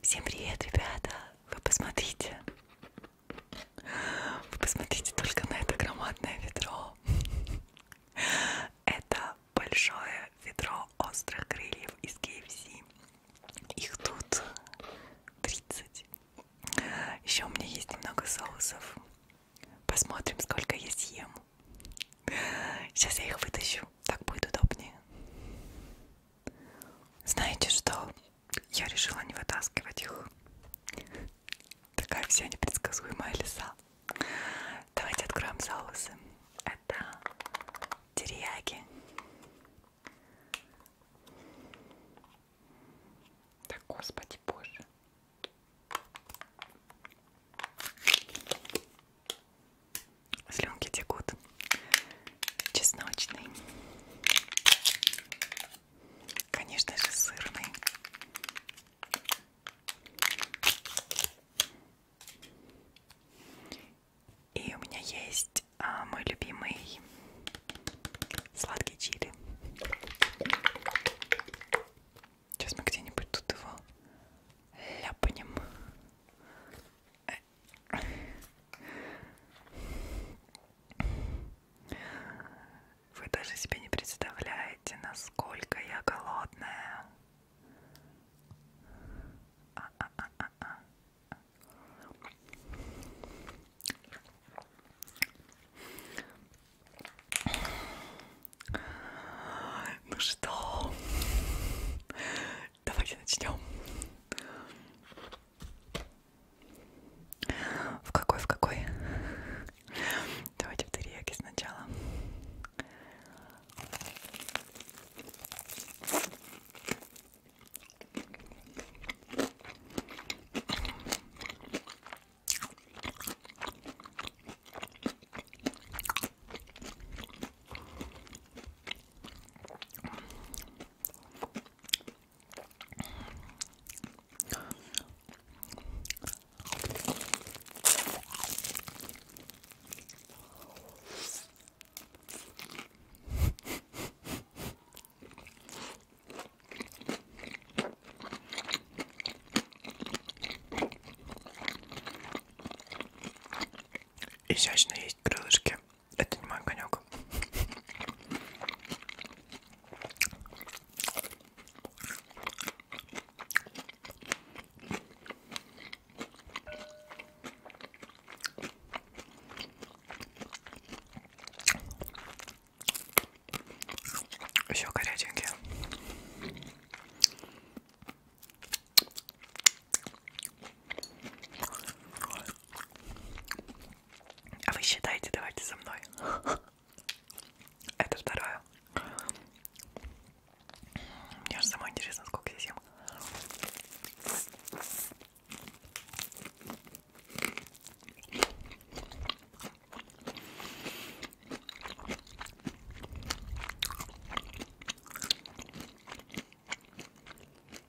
Всем привет, ребята! Вы посмотрите! Вы посмотрите только на это громадное ведро. Это большое ведро острых крыльев из KFC. Их тут 30. Еще у меня есть немного соусов. Посмотрим, сколько я съем. Сейчас я их вытащу, так будет удобнее. Знаете что? Я решила не вытаскивать их. Такая вся непредсказуемая лиса. Давайте откроем соусы. Это терияки. Да господи боже. Слюнки текут. Чесночный. Конечно же, сырный. И у меня есть а, мой любимый сладкий чили. Сейчас мы где-нибудь тут его ляпнем. Вы даже себе не представляете, насколько я голодная. А -а -а -а -а. Ну что, Давайте начнем. В какой, в какой? Давайте в терияки сначала. Изящно есть крылышки. Это не мой конек. Еще горяченькие. А вы считаете, давайте со мной. Это второе. Мне же самой интересно, сколько я съем.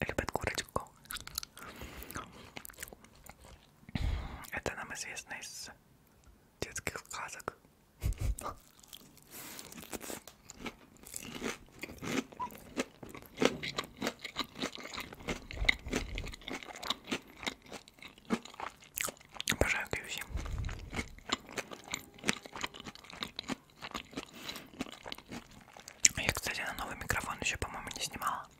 любят курочку. Это нам известно из детских сказок. Обожаю кьюси. Я, кстати, на новый микрофон еще, по-моему, не снимала.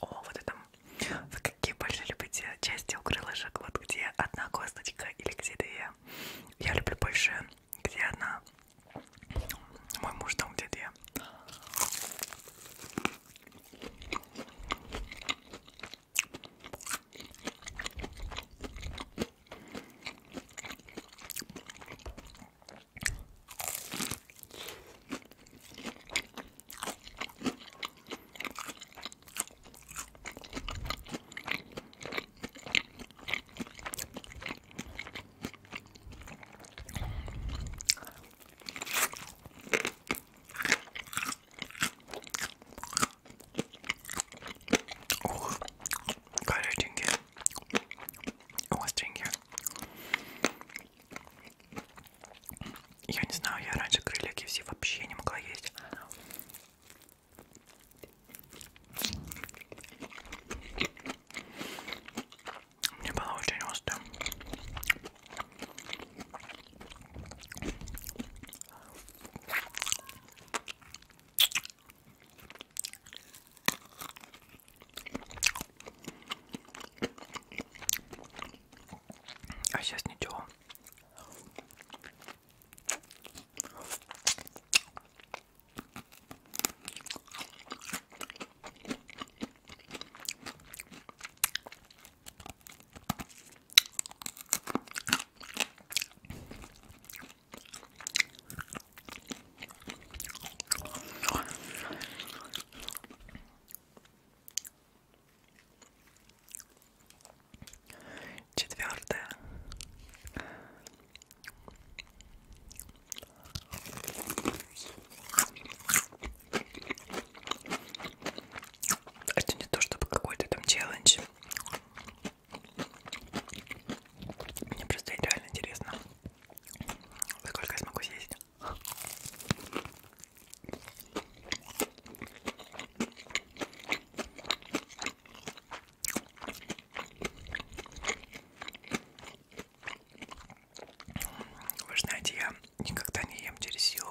О, вот это. Вы какие больше любите части у крылышек? Вот где одна косточка или где две? Я люблю больше, где одна. Мой муж там, где две. Oh, God, I didn't get it. I was drinking. Я не знаю, я раньше крылья KFC вообще не могла есть. Мне было очень остро. А сейчас ничего. Четвертое. Это а не то, чтобы какой-то там челлендж. Мне просто реально интересно, сколько я смогу съесть. Вы знаете, я никогда не ем через силу.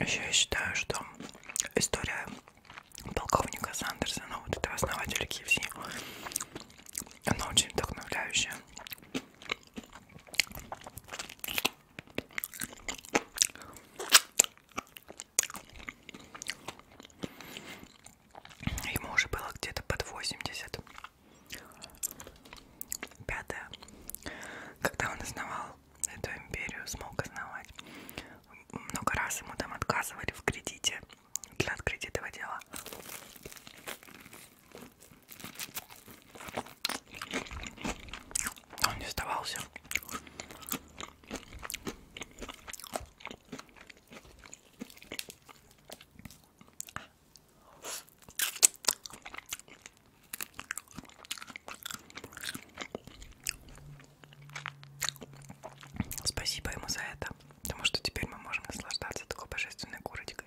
Еще я считаю, что история полковника Сандерсона, вот этого основателя KFC, она очень вдохновляющая. Ему уже было где-то под 80. Пятое. Когда он основал эту империю, смог основать, много раз ему там отказывали в кредите для открытия этого дела. Он не сдавался. Спасибо ему за это, потому что теперь мы можем наслаждаться такой божественной курочкой.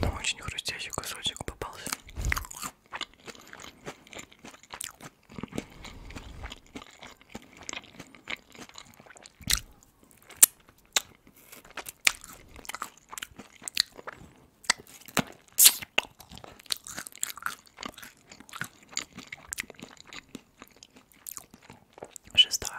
Там очень хрустящий кусочек попался. Шестая.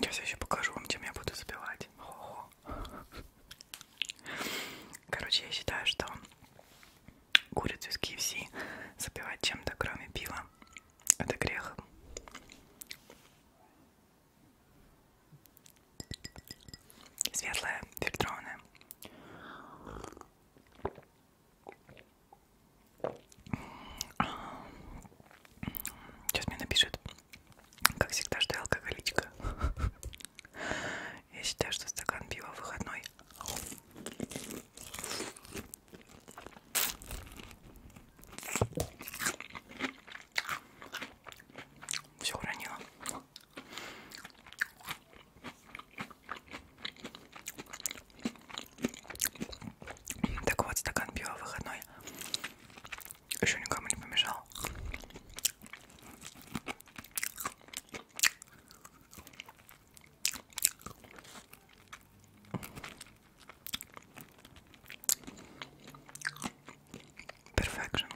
Сейчас я еще покажу вам, чем я буду забивать. Хо -хо. Короче, я считаю, что курицу из KFC забивать чем-то, кроме пива, это грех. Светлая, фильтрованная. Сейчас мне напишет. Как всегда, что я алкоголичка. Я считаю, что стакан пива выходной. Все уронила. Так вот, стакан пива выходной еще никому не помешал. Perfection.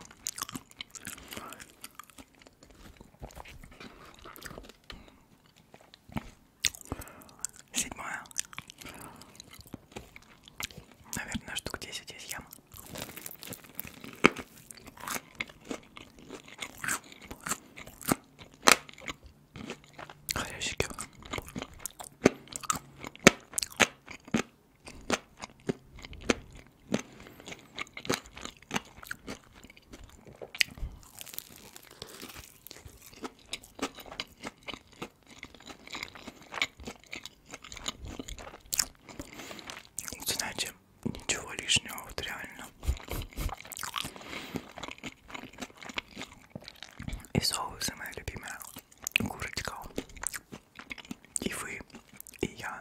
Седьмое. Наверное, штук 10 из ям. Хрящики. Знаете, ничего лишнего, вот реально. И соусы моя любимая курочка. И вы, и я.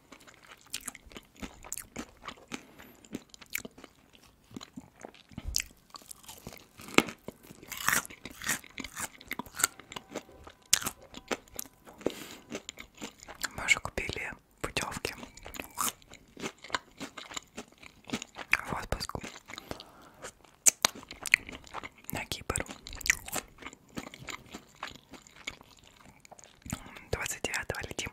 Мы уже купили путевки в отпуск на Кипр 29 летим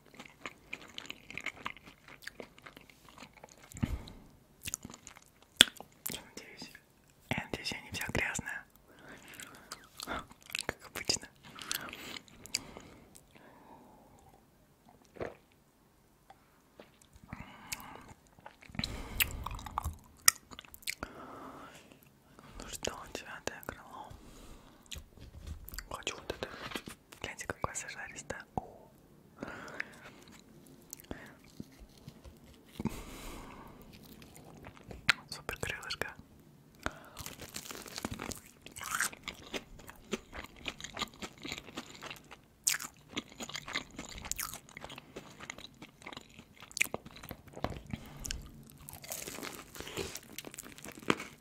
Я надеюсь. Я надеюсь, я не вся грязная. Как обычно. Ну что, девятое крыло. Хочу вот это. Гляньте, какой сажаристая. Супер крылышко.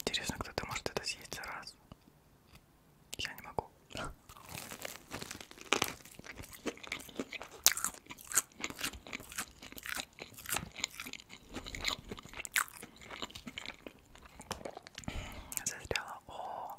Интересно, кто-то может это съесть за раз. Я не могу. Застряла. О.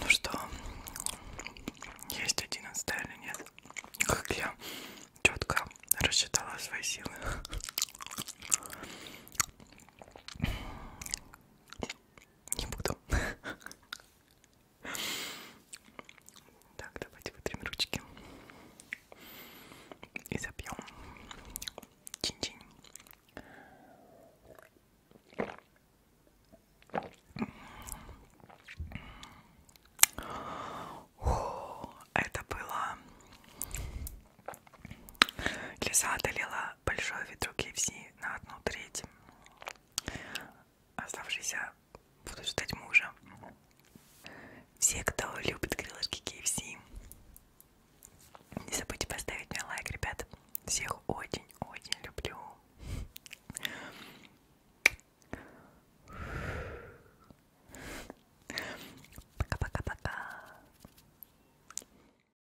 Ну что, есть одиннадцатая или нет? Как я четко рассчитала свои силы. Не буду. Так, давайте вытрем ручки. И запьем. Чин-чин. Это было... Лиза одолела большой ветру KFC на одну треть. Оставшиеся будут ждать мужа. Все, кто любит крылышки KFC, не забудьте поставить мне лайк, ребят. Всех очень-очень люблю. Пока-пока-пока.